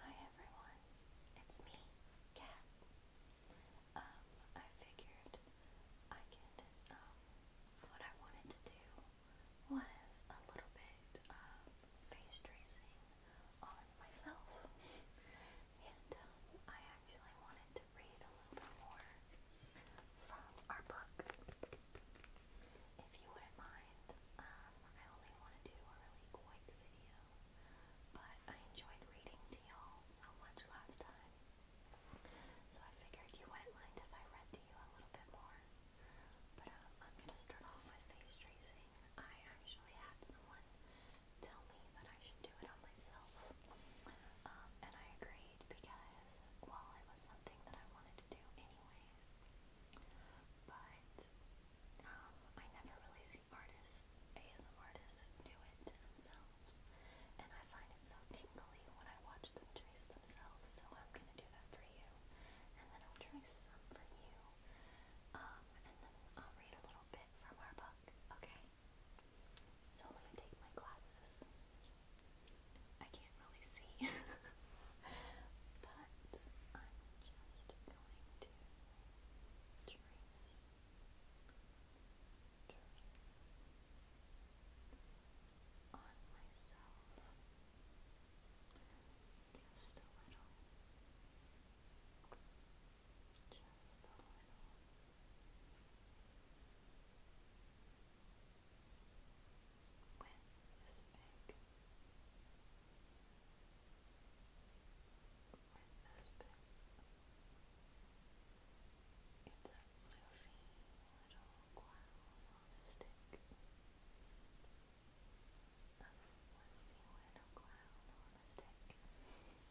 Hi everyone, it's me, Kat. Um, I figured I could, um, what I wanted to do was a little bit of um, face tracing on myself. and um, I actually wanted to read a little bit more from our book. If you wouldn't mind, um, I only want to do a really quick video, but I enjoyed reading to y'all so much last time. So I figured you wouldn't mind if I read to you a little bit more. But um, I'm going to start off with face tracing. I actually had someone tell me that I should do it on myself. Um, and I agreed because, well, it was something that I wanted to do anyways. But um, I never really see artists, ASM artists, do it themselves, and I find it so tingly when I watch them trace themselves. So I'm gonna do that for you, and then I'll trace some for you, um, and then I'll read a little bit from our book. Okay. So let me take my glasses. I can't really see. but I'm just going to trace, trace on myself just a little, just a little. With this big with this bit. It's a little coil on a stick. A little clown and it's so soft.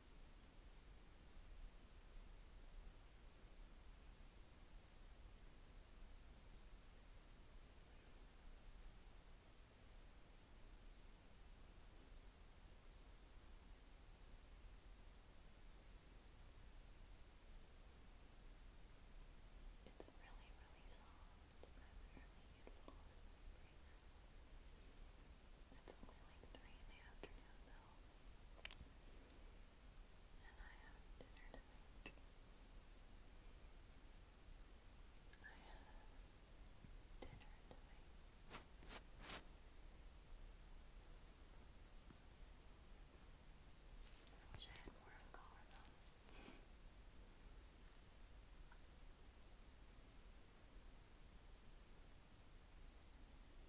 It's really, really soft. Literally, you'd It's only like three in the afternoon, myself. And I have dinner to I have dinner to I wish I had more of a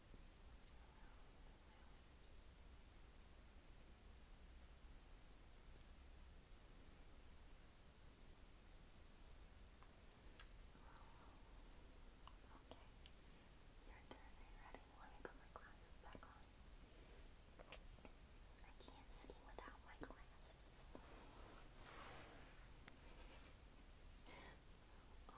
Your turn. Are you ready? Let me put my glasses back on. I can't see without my glasses. Oh,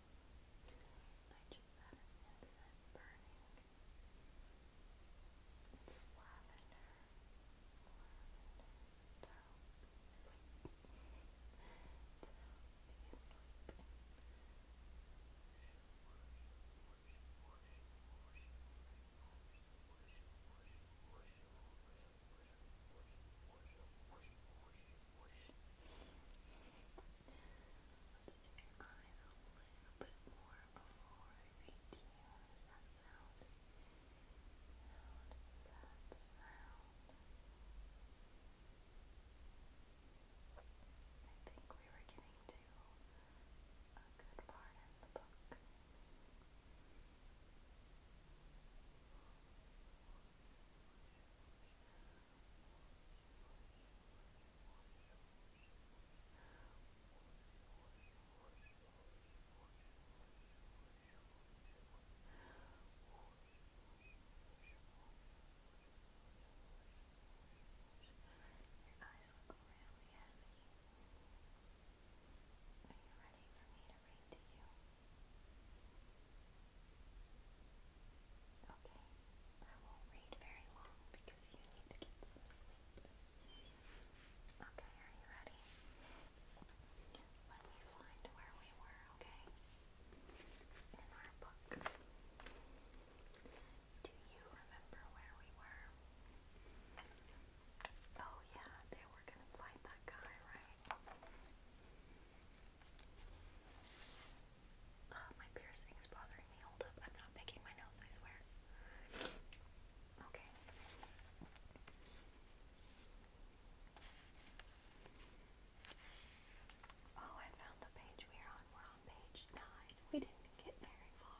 I just had an incense burning. It's lavender. Lavender to help sleep. to help you sleep your eyes a little bit more before I read to you. How does that sound? How does that sound? I think we were getting to a good part in the book. Now, your eyes look really heavy. Are you ready for me to read to you? Okay, I won't read very long because you need to get some sleep. Okay, are you ready? Let me find where we were, okay? In our book. Do you remember where we were? Oh yeah, they were gonna fight that guy, right? Oh, my piercing is bothering me. Hold up, I'm not picking my nose, I swear. Okay. Oh, I found the page we're on. We're on page 9. We didn't get very far.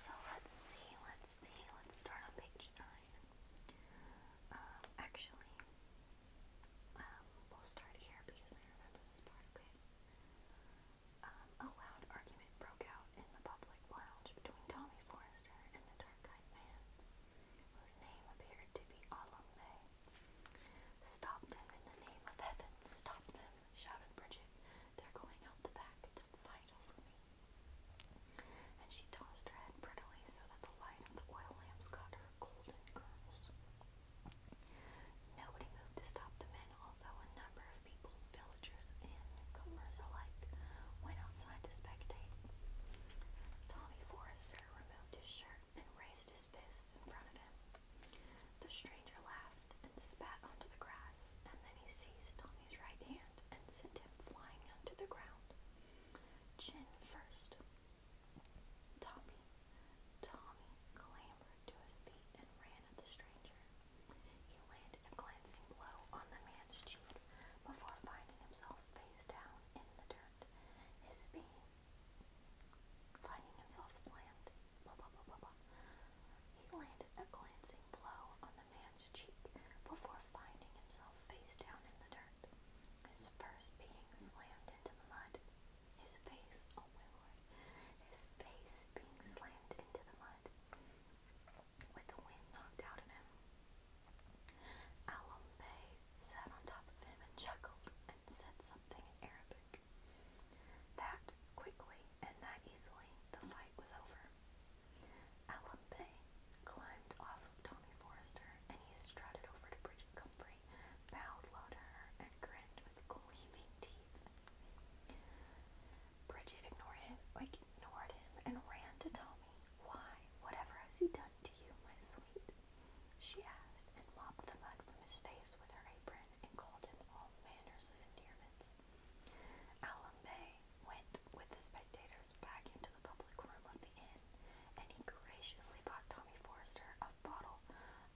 So let's see, let's see. Let's start on page 9. Um, actually, um, um, a loud argument broke out in the public lounge between Tommy Forrester and the dark-eyed man, whose name appeared to be Alumne. Stop them in the name of heaven, stop them, shouted Bridget. They're going out the back to fight over me. And she tossed her head prettily so that the light of the oil lamps caught her golden curls. Nobody moved to stop the men, although a number of people, villagers, and newcomers alike went outside to spectate. Tommy Forrester removed his shirt and raised his fist in front of him. The stranger laughed and spat onto the grass, and then he seized Tommy's right hand and sent him flying onto the ground. Chin first. Tommy, Tommy clambered to his feet and ran at the stranger. He landed a glancing blow on the man's cheek before finding himself face down in the dirt. His being finding himself slammed. He landed a glancing blow on the man's cheek before finding himself face down in the dirt his face, oh my lord, his face being slammed into the mud, with the wind knocked out of him. Alambe sat on top of him and chuckled and said something in Arabic. That quickly and that easily the fight was over. Alambe climbed off of Tommy Forrester and he strutted over to Bridget Comfrey bowed low and grinned with gleaming teeth. Bridget ignored him, like, ignored him and ran to Tommy. Why, whatever has he done to you, my sweet? She asked, and mopped the mud from his face with her apron and called in all manners of endearments. Alan Bay went with the spectators back into the public room of the inn and he graciously bought Tommy Forrester a bottle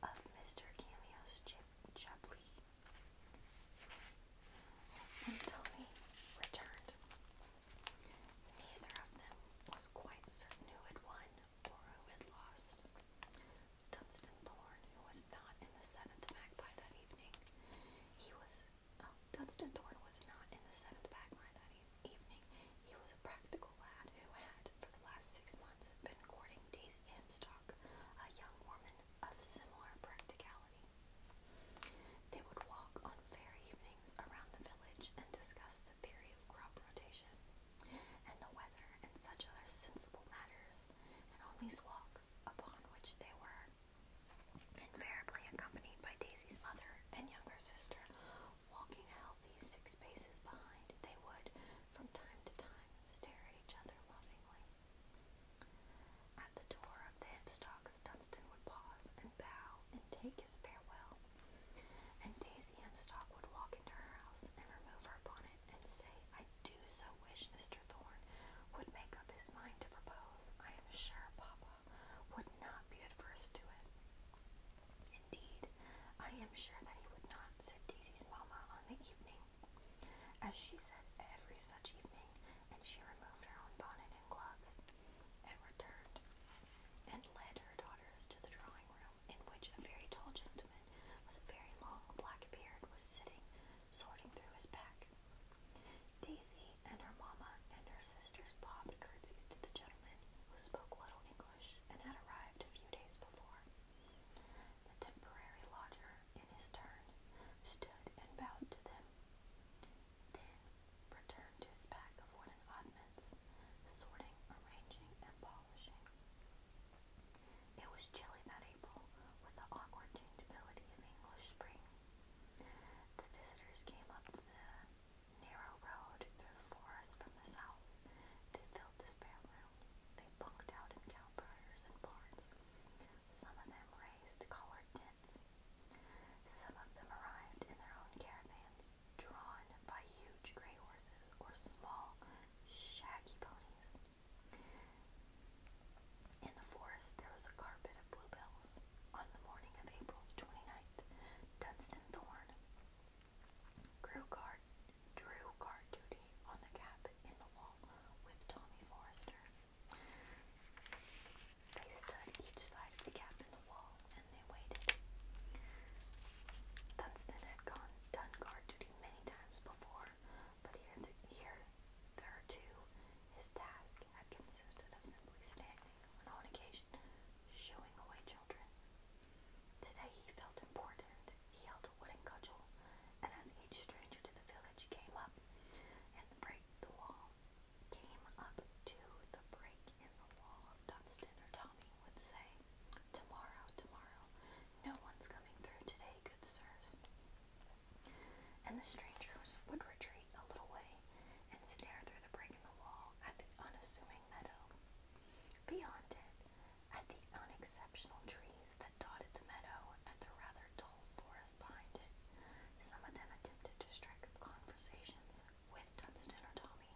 of Mr. Cameo's Chablis. When Tommy returned, neither of them was quite certain who had won or who had lost. Dunstan Thorne, who was not in the seventh magpie that evening, he was. Oh, Dunstan Thorne was not in the seventh magpie that evening evening, he was a practical lad who had, for the last six months, been courting Daisy Hemstock, a young woman of similar practicality. They would walk on fair evenings around the village and discuss the theory of crop rotation, and the weather, and such other sensible matters, and on these walks, upon which they were invariably accompanied by Daisy's mother and younger sister, walking out these six paces behind, they would, from time to time, stare at each other lovingly. At the door of the Dunstan would pause and bow and take his farewell, and Daisy Hempstock would walk into her house and remove her bonnet and say, I do so wish Mr. Thorn would make up his mind to propose. I am sure Papa would not be adverse to it. Indeed, I am sure that he would not, said Daisy's mamma on the evening, as she said every such evening, and she removed her own bonnet and gloves, and returned, and led her daughters to the drawing room, in which a very tall gentleman with a very long black beard was sitting, sorting through his pack. Daisy, and her mamma and her sisters bobbed curtsies to the gentleman who spoke little English and had arrived a few days before. The temporary lodger, in his turn, stood and bowed to them, then returned to his pack of wooden oddments, sorting, arranging, and polishing. It was chilly that April, with the awkward changeability of English spring. The visitors came up the narrow road through the forest from the south. They filled the spare rooms. They bunked out in cowbarns and barns. Some of them raised collared tents. Some of them arrived in their own caravans, drawn by huge gray horses or small, shaggy ponies. In the forest, there was a carpet bluebells. On the morning of April the 29th, Dunstan Thorne grew guard, drew guard duty on the gap in the wall with Tommy Forrester. They stood each side of the gap in the wall and they waited. Dunstan had gone done guard duty many times before, but here, the, here, there too, his task had consisted of simply standing and on occasion shooing away children. Today he felt important. He held a wooden cudgel, and as each stranger to the village came up and break the wall, came up to the break in the wall, Dunstan or Tommy would say, Tomorrow, tomorrow, no one's coming through today, good sirs. And the strangers would retreat a little way and stare through the break in the wall at the unassuming meadow. Beyond it, at the unexceptional trees that dotted the meadow at the rather dull forest behind it, some of them attempted to strike conversations with Dunstan or Tommy,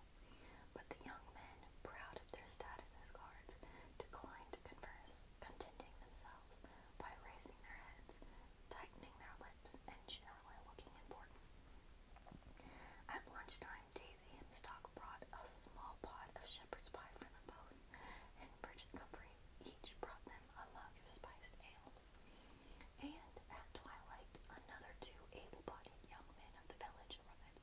but the young men, proud of their status as guards, declined to converse, contenting themselves by raising their heads, tightening their lips, and generally looking important. At lunchtime, Daisy Hemstock brought a small pot of shepherd's pie for them both, and Bridget Comfrey each brought them a mug spiced ale. And at twilight, another two able-bodied young men of the village arrived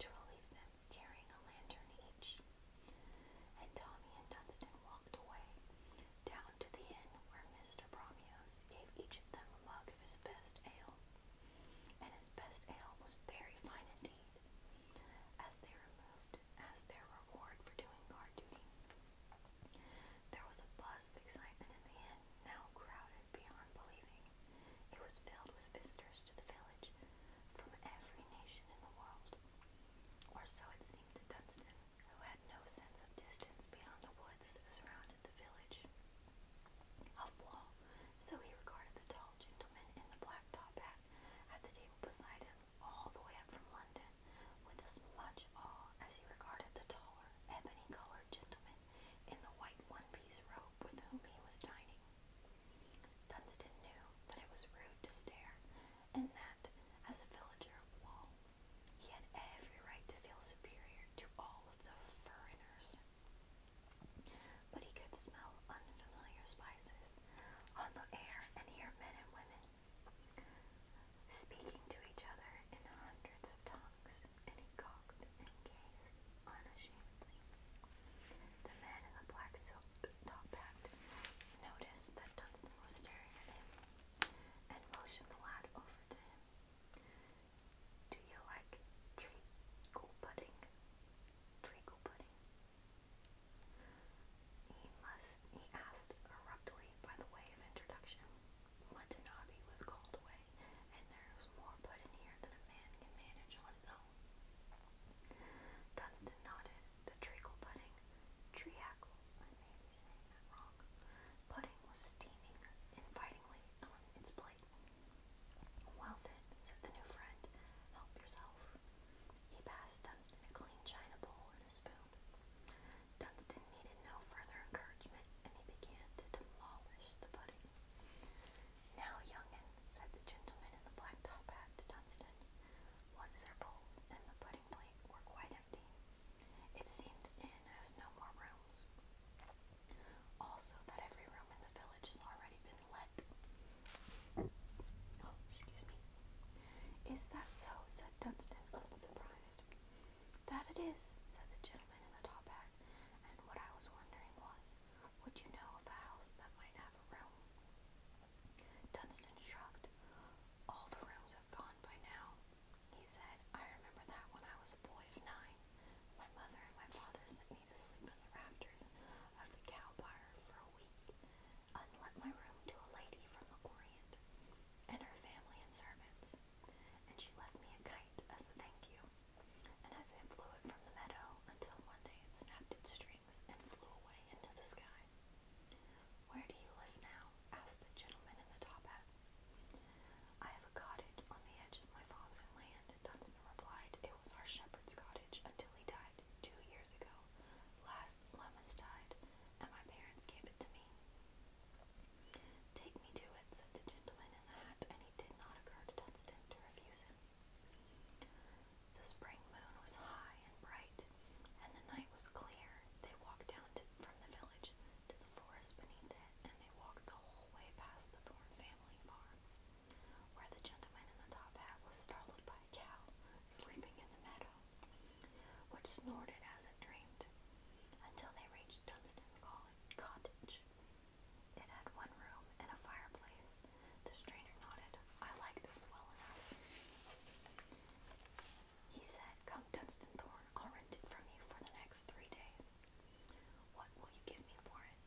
to relieve them, carrying a lantern each. And Tommy and Dunstan walked away, down to the inn where Mr. Bromios gave each of them a mug of his best ale, and his best ale was very fine indeed, as they removed as their reward for doing guard duty. There was a buzz of excitement in the inn, now crowded beyond believing. It was filled with visitors to the village from every nation in the world, or so it seemed to Dunstan who had no sense of distance beyond the woods that surrounded the village of wall, so he regarded the tall gentleman in the black top hat at the table beside him all the way up from London with as much awe as he regarded the taller, ebony-colored gentleman in the white one-piece robe with whom he was dining. Dunstan knew that it was rude to stare, and that, as a villager of Wall, he had every right to feel superior to all of the foreigners. But he could smell unfamiliar spices on the air and hear men and women speaking to each other in hundreds of tongues, and he cocked and gazed unashamedly. The man in the black silk top hat noticed that Dunstan was staring at him and motioned the lad over to him. Do you like treacle pudding? Treacle pudding? He must he asked abruptly by the way of introduction. Watanabe was called away, and there was more put in here than a man can manage on his own. Dunstan nodded. The treacle pudding, treacle, I may Pudding was steaming invitingly on its plate. Well then, said the new friend, help yourself. He passed Dunstan a clean china bowl and a spoon. Dunstan needed no further encouragement, and he began to demolish the pudding. Now, young'un, said the gentleman in the black top hat to Dunstan, once their bowls and the pudding plate were quite empty, it seemed the has no more rooms. Also, that every room in the village has already been let. Oh, excuse me. Is that so? said Dunstan, unsurprised. That it is, said the gentleman in the top hat. And what I was wondering was, would you know of a house that might have a room? Dunstan shrugged. All the rooms have gone by now. He said, I remember that when I was a boy of nine. My mother and my father sent me to sleep in the rafters of the cow byre for a week, and let my room to a lady from the Orient, and her family and servants. And she left me a kite as a thank you. And as it flew it from the meadow until one day it snapped its strings and flew away into the sky. Where do you live now? asked the gentleman in the top hat. I have a cottage on the edge of my father's land, Dunstan replied. It was our shepherd's cottage until he died two years ago. Last Lemmas died, and my parents gave it to me. Take me to it, said the gentleman in the hat, and it did not occur to Dunstan to refuse him. The spring moon was high and bright and the night was clear, they walked down from the village to the forest beneath it, and they walked the whole way past the Thorn family farm, where the gentleman in the top hat was startled by a cow sleeping in the meadow, which snorted as it dreamed, until they reached Dunstan's cottage. It had one room and a fireplace. The stranger nodded. I like this well enough. He said, Come, Dunstan Thorne, I'll rent it from you for the next three days. What will you give me for it?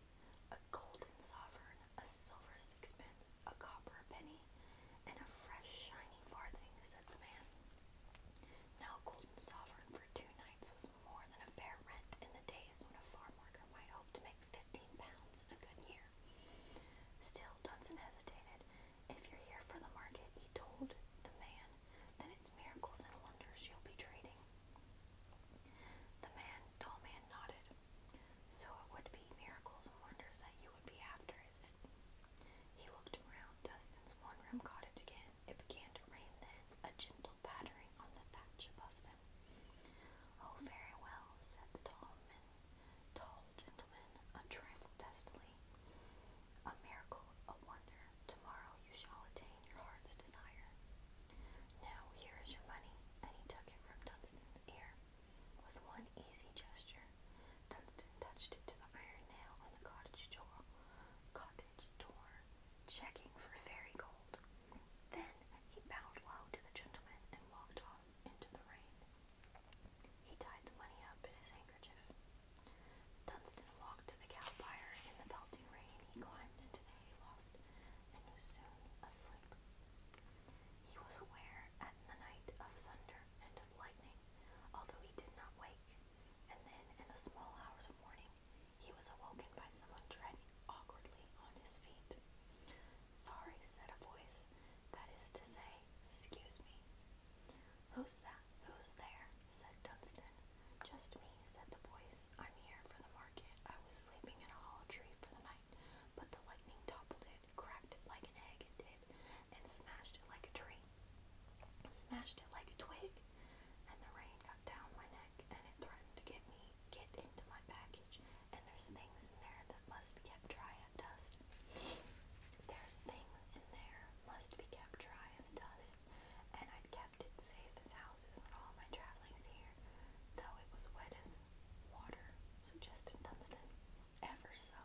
A golden sovereign, a silver sixpence, a copper penny, and a fresh, shiny farthing, said the man. Now, a golden sovereign for two nights was more than a fair rent in the days when a farm worker might hope to make fifteen pounds in a good year. Still, Dunson hesitated. If you're here for the market, he told the man, then it's miracles and wonders you'll be trading. The man, tall man, nodded. So it would be miracles and wonders that you would be after, is it? He looked around Dustin's one room cottage again. It began to rain then, a gentle pattering on the thatch above them. Oh, very well, said the tall man, tall gentleman, a trifle A miracle, a wonder. Tomorrow you shall attain your heart's desire. Now here is your money, and he took it from Dunstan's ear. With one easy gesture, Dunstan touched it to the iron nail on the cottage door. Cottage door, checking for fairy gold. Then he bowed low to the gentleman and walked off into the rain. He tied the money up in his handkerchief. Dunstan walked to the cow byre. In the pelting rain, he climbed into the hayloft and was soon asleep. He was aware at the night of thunder and of lightning, although he did not wake. And then, in the small hours of morning, he was awoken by someone treading awkwardly on his feet. Sorry, said a voice, that is to say, excuse me. Who's that? Who's there? said Dunstan. Just me, said the voice. I'm here for the market. I was sleeping in a hollow tree for the night, but the lightning toppled it, cracked it like an egg, it did, and smashed it like a tree. Smashed it like a twig. And the rain got down my neck, and it threatened to get me, get into my package, and there's things in there that must be kept dry as dust. There's things in there, must be kept dry as dust, and I'd kept it safe as houses on all my travelings here, though it was wet as water, suggested Dunstan. Ever so,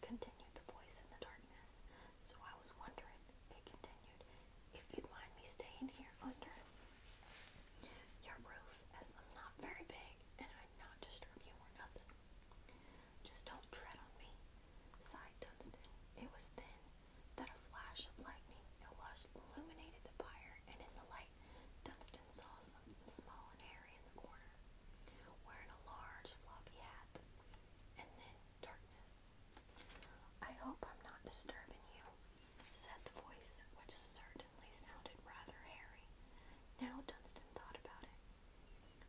continued the voice in the darkness, so I was wondering, it continued, if you'd mind me staying here under your roof, as I'm not very big, and I'd not disturb you or nothing. Just don't tread on me, sighed Dunstan. It was then that a flash of lightning illuminated the fire, and in the light, Dunstan saw something small and hairy in the corner, wearing a large floppy hat, and then darkness. I hope I'm not disturbing you, said the voice, which certainly certainly sounded rather hairy. Now Dunstan thought about it.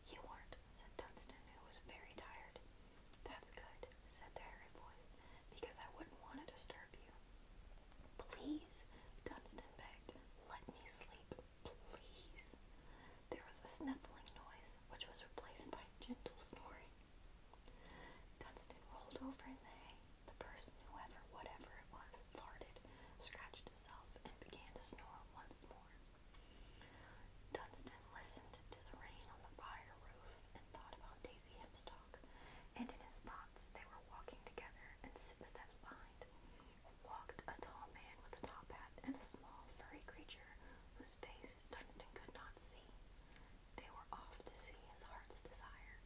You weren't, said Dunstan, who was very tired. That's good, said the hairy voice, because I wouldn't want to disturb you. Please, Dunstan begged, let me sleep, please. There was a sniffling noise, which was replaced by gentle snoring. Dunstan rolled over in the hay. The person, whoever, whatever it was, farted, scratched itself, and began to snore once more. Dunstan listened to the rain on the fire roof and thought about Daisy Hemstock. and in his thoughts they were walking together and six steps behind. Walked a tall man with a top hat and a small furry creature whose face Dunstan could not see. They were off to see his heart's desire.